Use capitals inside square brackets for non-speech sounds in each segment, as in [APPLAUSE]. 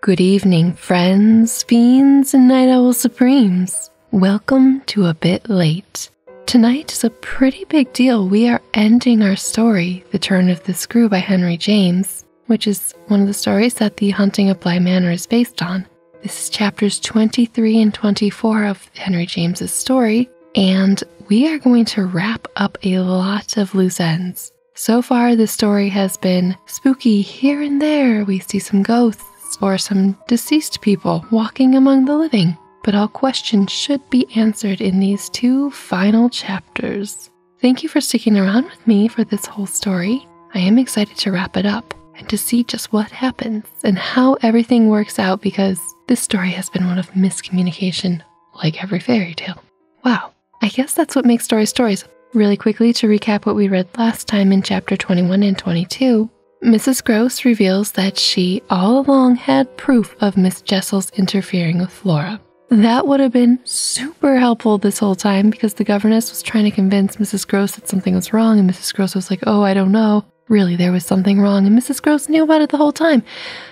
Good evening, friends, fiends, and night owl supremes. Welcome to A Bit Late. Tonight is a pretty big deal. We are ending our story, The Turn of the Screw by Henry James, which is one of the stories that The Hunting of Bly Manor is based on. This is chapters 23 and 24 of Henry James's story, and we are going to wrap up a lot of loose ends. So far, the story has been spooky here and there. We see some ghosts or some deceased people walking among the living. But all questions should be answered in these two final chapters. Thank you for sticking around with me for this whole story. I am excited to wrap it up and to see just what happens and how everything works out because this story has been one of miscommunication, like every fairy tale. Wow. I guess that's what makes stories stories. Really quickly, to recap what we read last time in chapter 21 and 22, Mrs. Gross reveals that she all along had proof of Miss Jessel's interfering with Flora. That would have been super helpful this whole time because the governess was trying to convince Mrs. Gross that something was wrong, and Mrs. Gross was like, Oh, I don't know. Really, there was something wrong, and Mrs. Gross knew about it the whole time.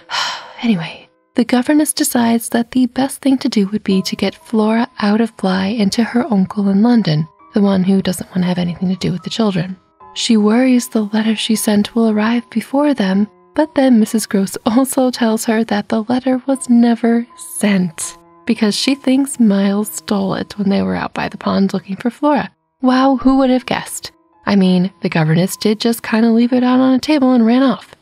[SIGHS] anyway, the governess decides that the best thing to do would be to get Flora out of Bly and to her uncle in London, the one who doesn't want to have anything to do with the children. She worries the letter she sent will arrive before them, but then Mrs. Gross [LAUGHS] also tells her that the letter was never sent because she thinks Miles stole it when they were out by the pond looking for Flora. Wow, who would have guessed? I mean, the governess did just kind of leave it out on a table and ran off.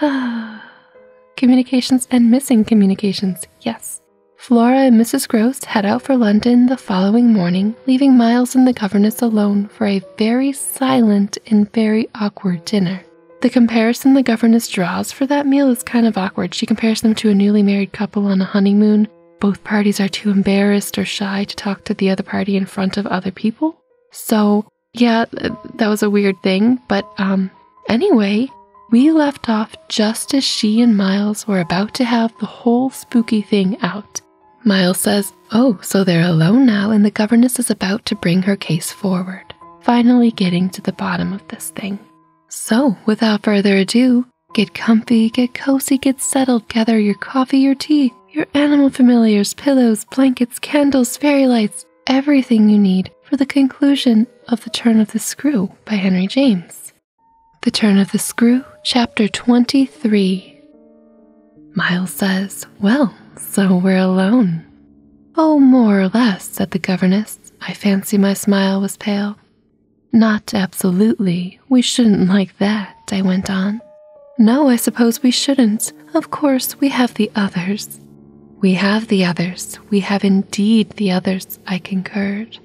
[SIGHS] [SIGHS] communications and missing communications, yes. Flora and Mrs. Gross head out for London the following morning, leaving Miles and the governess alone for a very silent and very awkward dinner. The comparison the governess draws for that meal is kind of awkward. She compares them to a newly married couple on a honeymoon. Both parties are too embarrassed or shy to talk to the other party in front of other people. So yeah, that was a weird thing, but um, anyway, we left off just as she and Miles were about to have the whole spooky thing out. Miles says, Oh, so they're alone now, and the governess is about to bring her case forward, finally getting to the bottom of this thing. So, without further ado, get comfy, get cozy, get settled, gather your coffee, your tea, your animal familiars, pillows, blankets, candles, fairy lights, everything you need for the conclusion of The Turn of the Screw by Henry James. The Turn of the Screw, Chapter 23. Miles says, Well, so we're alone. Oh, more or less, said the governess. I fancy my smile was pale. Not absolutely. We shouldn't like that, I went on. No, I suppose we shouldn't. Of course, we have the others. We have the others, we have indeed the others, I concurred.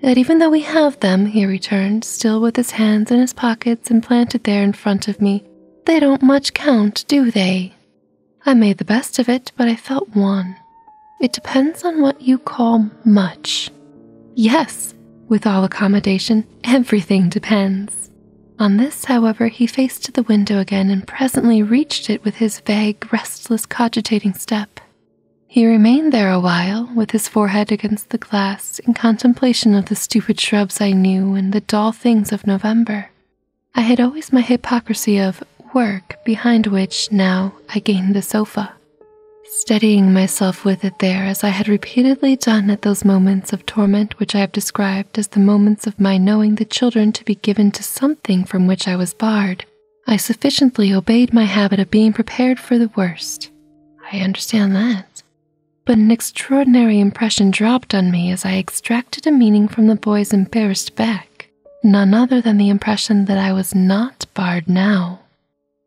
Yet even though we have them, he returned, still with his hands in his pockets and planted there in front of me, they don't much count, do they? I made the best of it, but I felt one. It depends on what you call much. Yes, with all accommodation, everything depends. On this, however, he faced the window again and presently reached it with his vague, restless, cogitating step. He remained there a while, with his forehead against the glass, in contemplation of the stupid shrubs I knew and the dull things of November. I had always my hypocrisy of work, behind which, now, I gained the sofa. Steadying myself with it there as I had repeatedly done at those moments of torment which I have described as the moments of my knowing the children to be given to something from which I was barred, I sufficiently obeyed my habit of being prepared for the worst. I understand that. But an extraordinary impression dropped on me as I extracted a meaning from the boy's embarrassed back, none other than the impression that I was not barred now.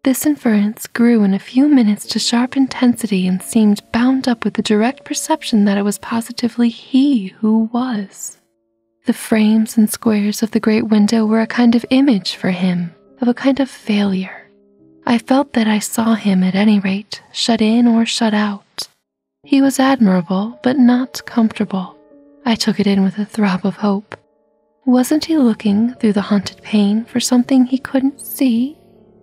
This inference grew in a few minutes to sharp intensity and seemed bound up with the direct perception that it was positively he who was. The frames and squares of the great window were a kind of image for him, of a kind of failure. I felt that I saw him at any rate, shut in or shut out. He was admirable, but not comfortable. I took it in with a throb of hope. Wasn't he looking through the haunted pane for something he couldn't see?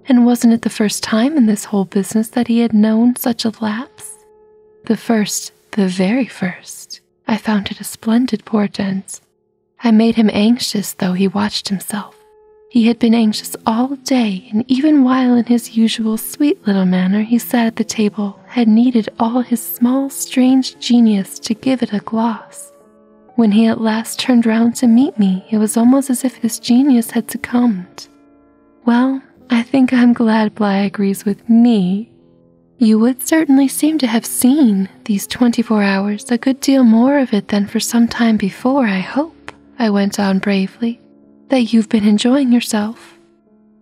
And wasn't it the first time in this whole business that he had known such a lapse? The first, the very first. I found it a splendid portent. I made him anxious, though he watched himself. He had been anxious all day, and even while in his usual sweet little manner he sat at the table, had needed all his small, strange genius to give it a gloss. When he at last turned round to meet me, it was almost as if his genius had succumbed. Well, I think I'm glad Bligh agrees with me. You would certainly seem to have seen these 24 hours a good deal more of it than for some time before, I hope, I went on bravely. That you've been enjoying yourself.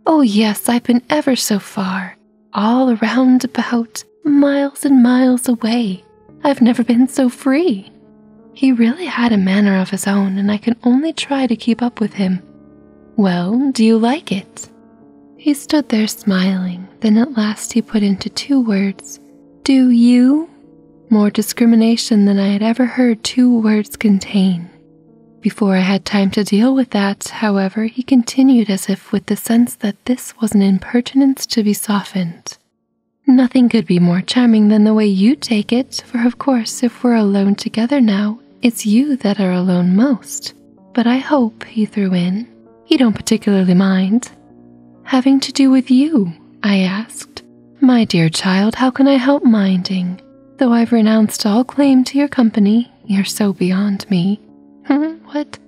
Oh, yes, I've been ever so far, all around about, miles and miles away. I've never been so free. He really had a manner of his own, and I can only try to keep up with him. Well, do you like it? He stood there smiling, then at last he put into two words, Do you? More discrimination than I had ever heard two words contain. Before I had time to deal with that, however, he continued as if with the sense that this was an impertinence to be softened. Nothing could be more charming than the way you take it, for of course, if we're alone together now, it's you that are alone most. But I hope, he threw in, you don't particularly mind. Having to do with you, I asked. My dear child, how can I help minding? Though I've renounced all claim to your company, you're so beyond me. Hmm, what?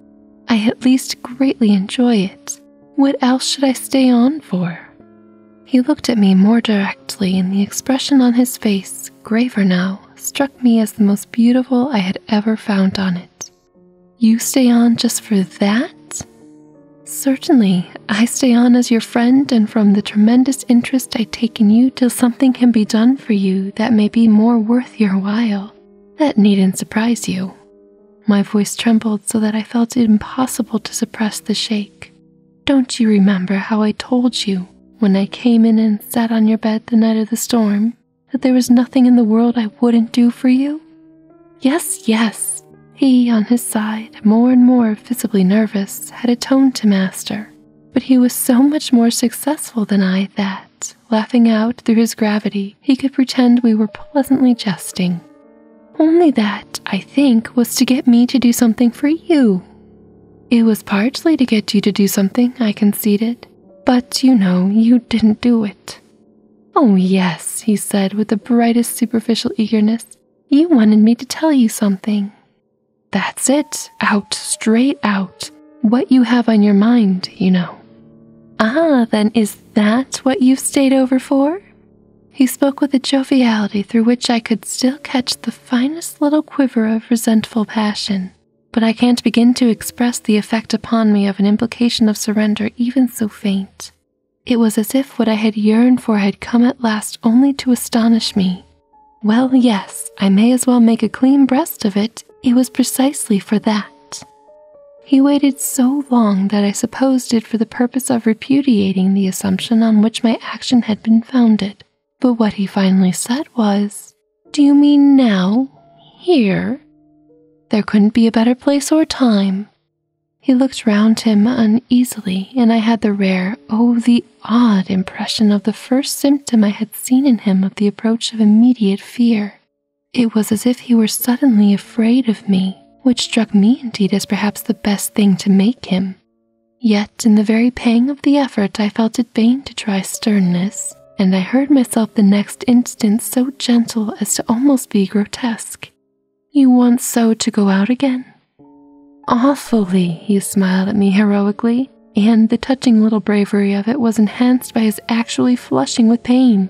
I at least greatly enjoy it. What else should I stay on for? He looked at me more directly, and the expression on his face, graver now, struck me as the most beautiful I had ever found on it. You stay on just for that? Certainly, I stay on as your friend, and from the tremendous interest I take in you till something can be done for you that may be more worth your while. That needn't surprise you. My voice trembled so that I felt it impossible to suppress the shake. Don't you remember how I told you when I came in and sat on your bed the night of the storm that there was nothing in the world I wouldn't do for you? Yes, yes. He, on his side, more and more visibly nervous, had atoned to master. But he was so much more successful than I that, laughing out through his gravity, he could pretend we were pleasantly jesting. Only that, I think, was to get me to do something for you. It was partly to get you to do something, I conceded, but you know, you didn't do it. Oh, yes, he said with the brightest superficial eagerness. You wanted me to tell you something. That's it, out, straight out. What you have on your mind, you know. Ah, then is that what you've stayed over for? He spoke with a joviality through which I could still catch the finest little quiver of resentful passion, but I can't begin to express the effect upon me of an implication of surrender even so faint. It was as if what I had yearned for had come at last only to astonish me. Well, yes, I may as well make a clean breast of it. It was precisely for that. He waited so long that I supposed it for the purpose of repudiating the assumption on which my action had been founded. But what he finally said was, Do you mean now? Here? There couldn't be a better place or time. He looked round him uneasily, and I had the rare, oh, the odd impression of the first symptom I had seen in him of the approach of immediate fear. It was as if he were suddenly afraid of me, which struck me indeed as perhaps the best thing to make him. Yet, in the very pang of the effort, I felt it vain to try sternness, and I heard myself the next instant so gentle as to almost be grotesque. You want so to go out again? Awfully, he smiled at me heroically, and the touching little bravery of it was enhanced by his actually flushing with pain.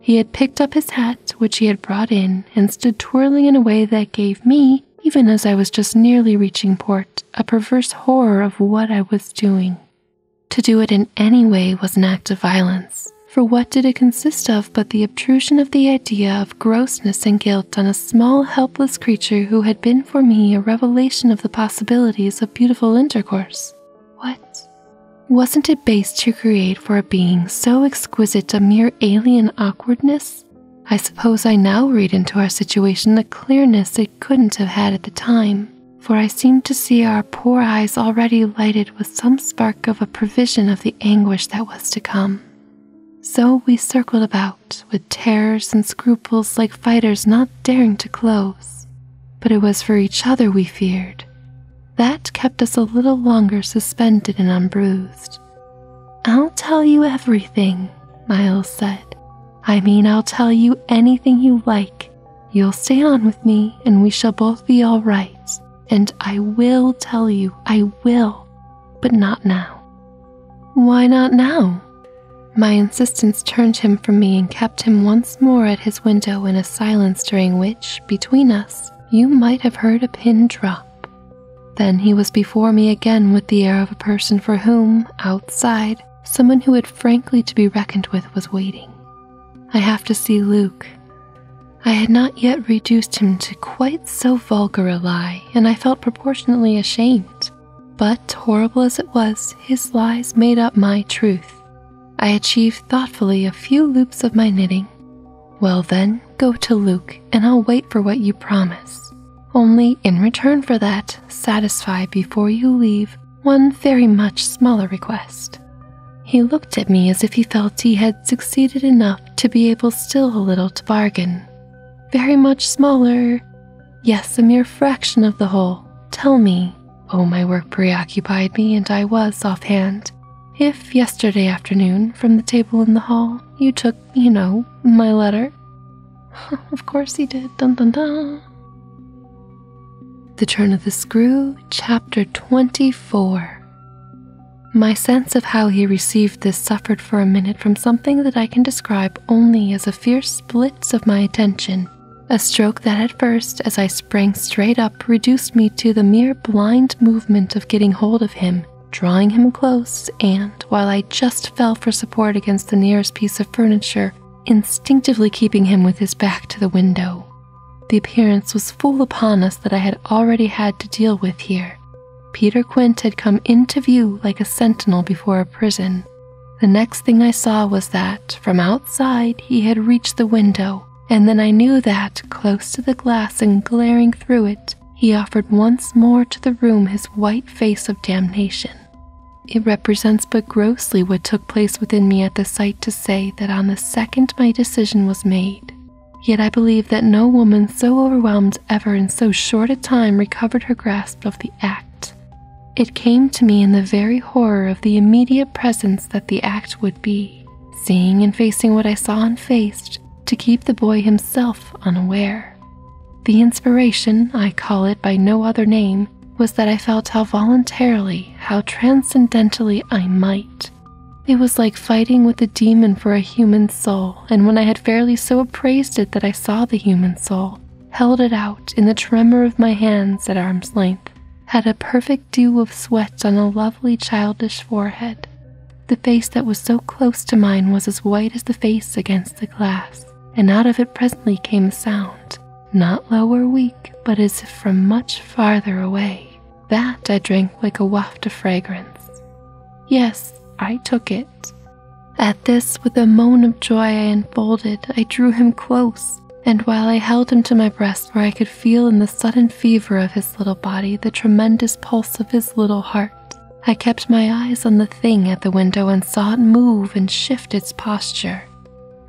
He had picked up his hat hat which he had brought in and stood twirling in a way that gave me, even as I was just nearly reaching port, a perverse horror of what I was doing. To do it in any way was an act of violence, for what did it consist of but the obtrusion of the idea of grossness and guilt on a small, helpless creature who had been for me a revelation of the possibilities of beautiful intercourse? What? Wasn't it base to create? for a being so exquisite a mere alien awkwardness? I suppose I now read into our situation a clearness it couldn't have had at the time, for I seemed to see our poor eyes already lighted with some spark of a prevision of the anguish that was to come. So we circled about, with terrors and scruples like fighters not daring to close. But it was for each other we feared, that kept us a little longer suspended and unbruised. I'll tell you everything, Miles said. I mean, I'll tell you anything you like. You'll stay on with me, and we shall both be all right. And I will tell you, I will, but not now. Why not now? My insistence turned him from me and kept him once more at his window in a silence during which, between us, you might have heard a pin drop. Then he was before me again with the air of a person for whom, outside, someone who had frankly to be reckoned with was waiting. I have to see Luke. I had not yet reduced him to quite so vulgar a lie, and I felt proportionately ashamed. But, horrible as it was, his lies made up my truth. I achieved thoughtfully a few loops of my knitting, well, then, go to Luke, and I'll wait for what you promise. Only in return for that, satisfy before you leave one very much smaller request. He looked at me as if he felt he had succeeded enough to be able still a little to bargain. Very much smaller, yes, a mere fraction of the whole. Tell me. Oh, my work preoccupied me, and I was offhand. If yesterday afternoon, from the table in the hall, you took, you know, my letter. [LAUGHS] of course he did. Dun dun dun. The Turn of the Screw, Chapter 24. My sense of how he received this suffered for a minute from something that I can describe only as a fierce split of my attention, a stroke that at first, as I sprang straight up, reduced me to the mere blind movement of getting hold of him, drawing him close, and while I just fell for support against the nearest piece of furniture, instinctively keeping him with his back to the window. The appearance was full upon us that I had already had to deal with here. Peter Quint had come into view like a sentinel before a prison. The next thing I saw was that, from outside, he had reached the window and then I knew that, close to the glass and glaring through it, he offered once more to the room his white face of damnation. It represents but grossly what took place within me at the sight to say that on the second my decision was made. Yet I believe that no woman so overwhelmed ever in so short a time recovered her grasp of the act. It came to me in the very horror of the immediate presence that the act would be seeing and facing what I saw and faced to keep the boy himself unaware. The inspiration, I call it by no other name, was that I felt how voluntarily, how transcendently I might. It was like fighting with a demon for a human soul, and when I had fairly so appraised it that I saw the human soul, held it out in the tremor of my hands at arm's length, had a perfect dew of sweat on a lovely childish forehead. The face that was so close to mine was as white as the face against the glass, and out of it presently came a sound, not low or weak, but as if from much farther away. That I drank like a waft of fragrance. Yes, I took it. At this, with a moan of joy I unfolded, I drew him close, and while I held him to my breast where I could feel in the sudden fever of his little body the tremendous pulse of his little heart. I kept my eyes on the thing at the window and saw it move and shift its posture.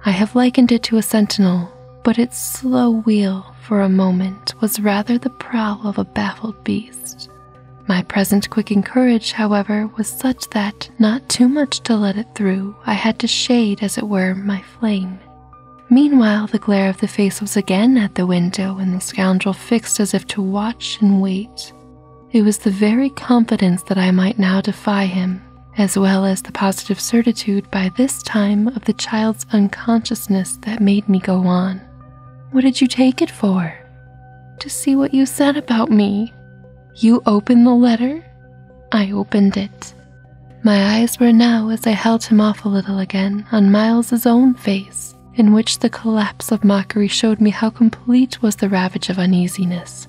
I have likened it to a sentinel, but its slow wheel for a moment was rather the prow of a baffled beast. My present quick courage, however, was such that, not too much to let it through, I had to shade, as it were, my flame, Meanwhile, the glare of the face was again at the window, and the scoundrel fixed as if to watch and wait. It was the very confidence that I might now defy him, as well as the positive certitude by this time of the child's unconsciousness that made me go on. What did you take it for? To see what you said about me. You opened the letter? I opened it. My eyes were now, as I held him off a little again, on Miles's own face, in which the collapse of mockery showed me how complete was the ravage of uneasiness.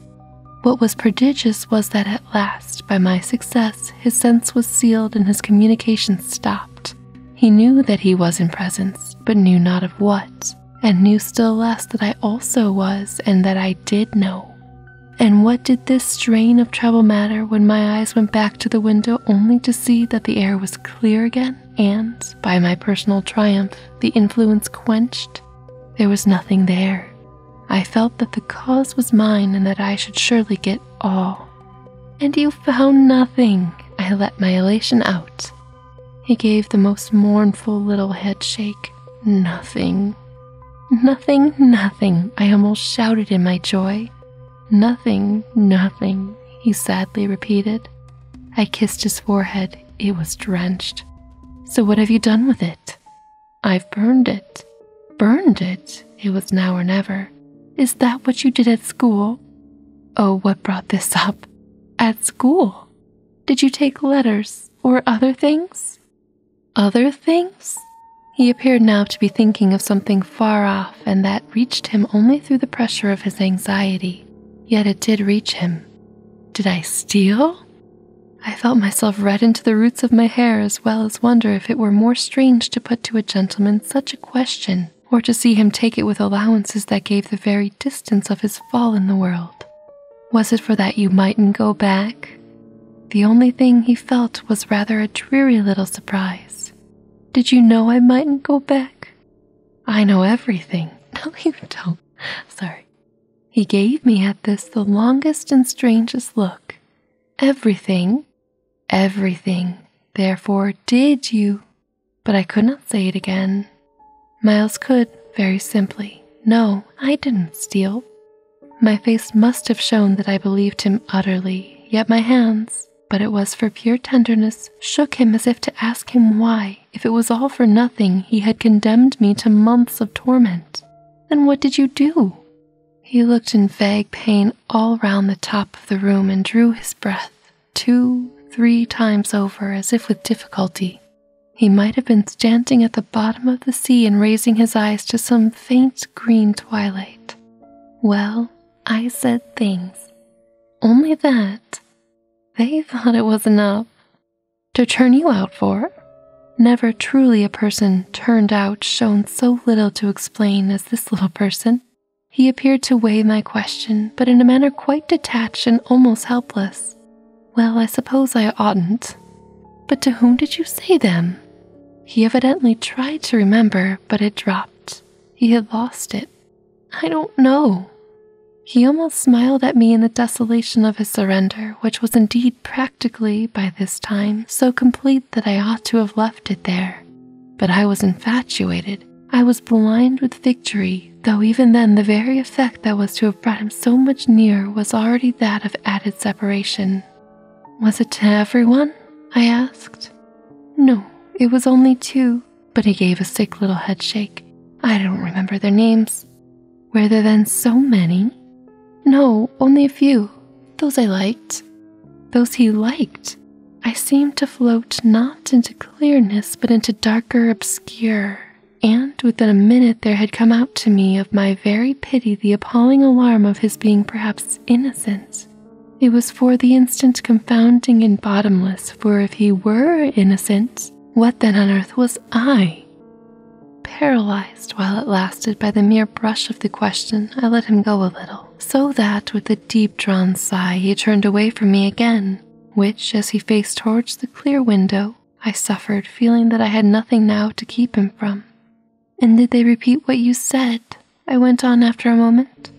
What was prodigious was that at last, by my success, his sense was sealed and his communication stopped. He knew that he was in presence, but knew not of what, and knew still less that I also was and that I did know. And what did this strain of trouble matter when my eyes went back to the window only to see that the air was clear again and, by my personal triumph, the influence quenched? There was nothing there. I felt that the cause was mine and that I should surely get all. And you found nothing, I let my elation out. He gave the most mournful little head shake. Nothing. Nothing, nothing, I almost shouted in my joy. Nothing, nothing, he sadly repeated. I kissed his forehead. It was drenched. So, what have you done with it? I've burned it. Burned it? It was now or never. Is that what you did at school? Oh, what brought this up? At school? Did you take letters or other things? Other things? He appeared now to be thinking of something far off, and that reached him only through the pressure of his anxiety. Yet it did reach him. Did I steal? I felt myself red into the roots of my hair, as well as wonder if it were more strange to put to a gentleman such a question, or to see him take it with allowances that gave the very distance of his fall in the world. Was it for that you mightn't go back? The only thing he felt was rather a dreary little surprise. Did you know I mightn't go back? I know everything. [LAUGHS] No, you don't. Sorry. He gave me at this the longest and strangest look. Everything, everything, therefore, did you? But I could not say it again. Miles could, very simply. No, I didn't steal. My face must have shown that I believed him utterly, yet my hands, but it was for pure tenderness, shook him as if to ask him why, if it was all for nothing, he had condemned me to months of torment. Then what did you do? He looked in vague pain all round the top of the room and drew his breath two, three times over as if with difficulty. He might have been standing at the bottom of the sea and raising his eyes to some faint green twilight. Well, I said things. Only that they thought it was enough to turn you out for. Never truly a person turned out shown so little to explain as this little person. He appeared to weigh my question, but in a manner quite detached and almost helpless. Well, I suppose I oughtn't. But to whom did you say them? He evidently tried to remember, but it dropped. He had lost it. I don't know. He almost smiled at me in the desolation of his surrender, which was indeed practically, by this time, so complete that I ought to have left it there. But I was infatuated. I was blind with victory, though even then the very effect that was to have brought him so much nearer was already that of added separation. Was it to everyone? I asked. No, it was only two, but he gave a sick little head shake. I don't remember their names. Were there then so many? No, only a few. Those I liked. Those he liked. I seemed to float not into clearness, but into darker obscure. And within a minute, there had come out to me of my very pity the appalling alarm of his being perhaps Innocent! It was for the instant confounding and bottomless, for if he were innocent, what then on earth was I? Paralyzed while it lasted by the mere brush of the question, I let him go a little, so that with a deep drawn sigh he turned away from me again, which, as he faced towards the clear window, I suffered, feeling that I had nothing now to keep him from. And did they repeat what you said? I went on after a moment.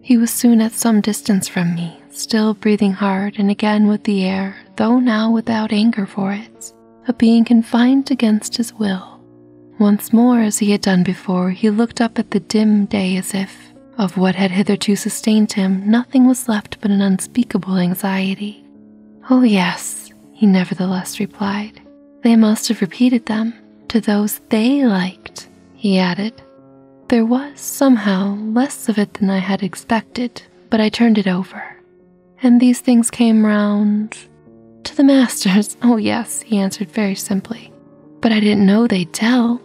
He was soon at some distance from me, still breathing hard and again with the air, though now without anger for it, of being confined against his will. Once more, as he had done before, he looked up at the dim day as if, of what had hitherto sustained him, nothing was left but an unspeakable anxiety. Oh, yes, he nevertheless replied. They must have repeated them to those they liked, he added. There was, somehow, less of it than I had expected, but I turned it over. And these things came round. To the masters, [LAUGHS] oh yes, he answered very simply. But I didn't know they'd tell.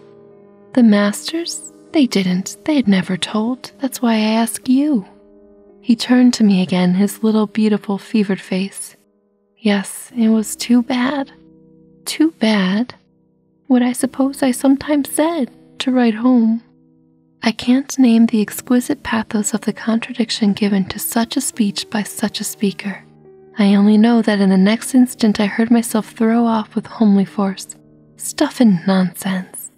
The masters? They didn't. They had never told. That's why I ask you. He turned to me again, his little beautiful fevered face. Yes, it was too bad. Too bad. What I suppose I sometimes said to write home. I can't name the exquisite pathos of the contradiction given to such a speech by such a speaker. I only know that in the next instant I heard myself throw off with homely force, stuff and nonsense.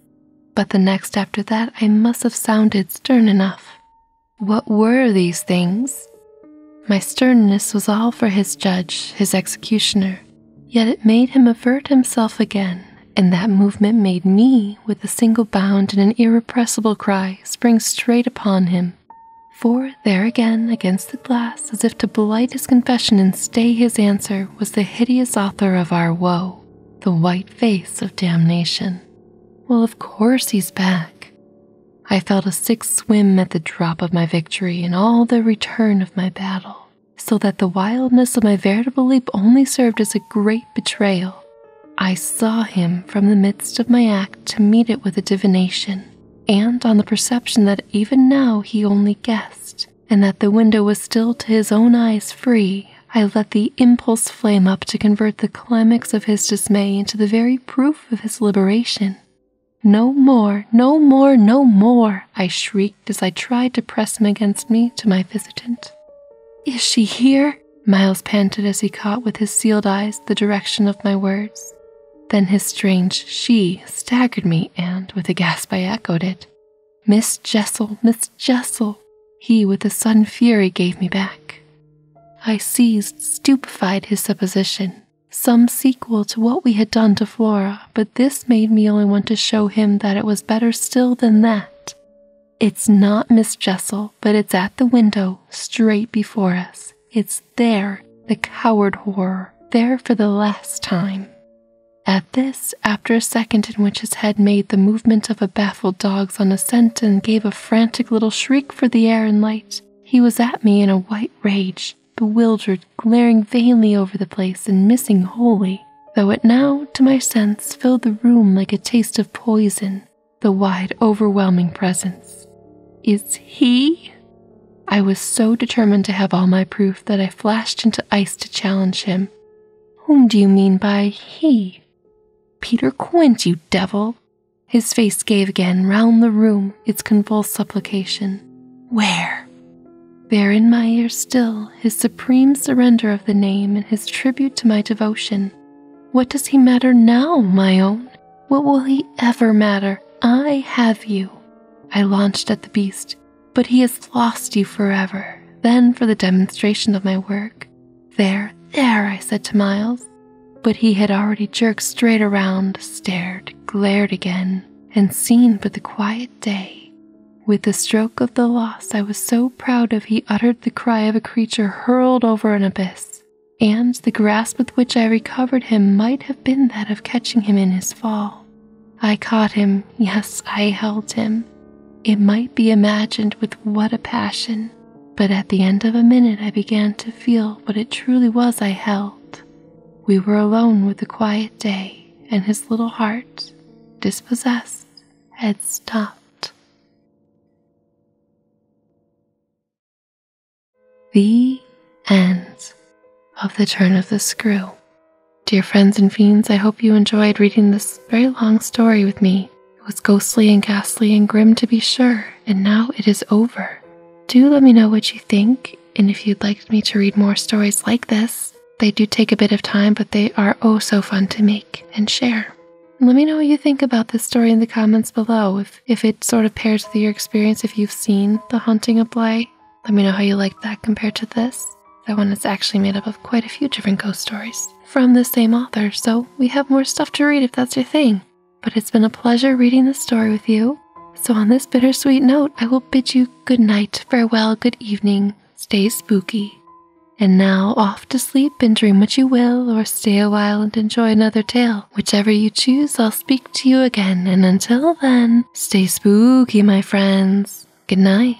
But the next after that I must have sounded stern enough. What were these things? My sternness was all for his judge, his executioner, yet it made him avert himself again, and that movement made me, with a single bound and an irrepressible cry, spring straight upon him. For there again, against the glass, as if to blight his confession and stay his answer, was the hideous author of our woe, the white face of damnation. Well, of course he's back. I felt a sick swim at the drop of my victory and all the return of my battle, so that the wildness of my veritable leap only served as a great betrayal. I saw him from the midst of my act to meet it with a divination, and on the perception that even now he only guessed, and that the window was still to his own eyes free I let the impulse flame up to convert the climax of his dismay into the very proof of his liberation. No more, no more, no more, I shrieked as I tried to press him against me to my visitant. Is she here? Miles panted as he caught with his sealed eyes the direction of my words. Then his strange she staggered me, and with a gasp I echoed it. Miss Jessel, Miss Jessel. He, with a sudden fury, gave me back. I seized, stupefied his supposition, some sequel to what we had done to Flora, but this made me only want to show him that it was better still than that. It's not Miss Jessel, but it's at the window, straight before us. It's there, the coward horror, there for the last time. At this, after a second in which his head made the movement of a baffled dogs on a scent and gave a frantic little shriek for the air and light. He was at me in a white rage, bewildered, glaring vainly over the place and missing wholly, though it now, to my sense, filled the room like a taste of poison, the wide, overwhelming presence. Is he? I was so determined to have all my proof that I flashed into ice to challenge him. Whom do you mean by he? Peter Quint, you devil! His face gave again round the room its convulsed supplication. Where? There in my ear still his supreme surrender of the name and his tribute to my devotion. What does he matter now, my own? What will he ever matter? I have you. I launched at the beast, but he has lost you forever. Then for the demonstration of my work, there, there, I said to Miles. But he had already jerked straight around, stared, glared again, and seen but the quiet day. With the stroke of the loss I was so proud of, he uttered the cry of a creature hurled over an abyss, and the grasp with which I recovered him might have been that of catching him in his fall. I caught him, yes, I held him, it might be imagined with what a passion, but at the end of a minute I began to feel what it truly was I held. We were alone with the quiet day, and his little heart, dispossessed, had stopped. The end of the turn of the screw. Dear friends and fiends, I hope you enjoyed reading this very long story with me. It was ghostly and ghastly and grim to be sure, and now it is over. Do let me know what you think, and if you'd like me to read more stories like this, they do take a bit of time, but they are oh so fun to make and share. let me know what you think about this story in the comments below. If, if it sort of pairs with your experience, if you've seen The Haunting of Bly, let me know how you liked that compared to this. That one is actually made up of quite a few different ghost stories from the same author, so we have more stuff to read if that's your thing. But it's been a pleasure reading this story with you. So, on this bittersweet note, I will bid you good night, farewell, good evening, stay spooky. And now off to sleep and dream what you will, or stay a while and enjoy another tale. Whichever you choose, I'll speak to you again. And until then, stay spooky, my friends. Good night.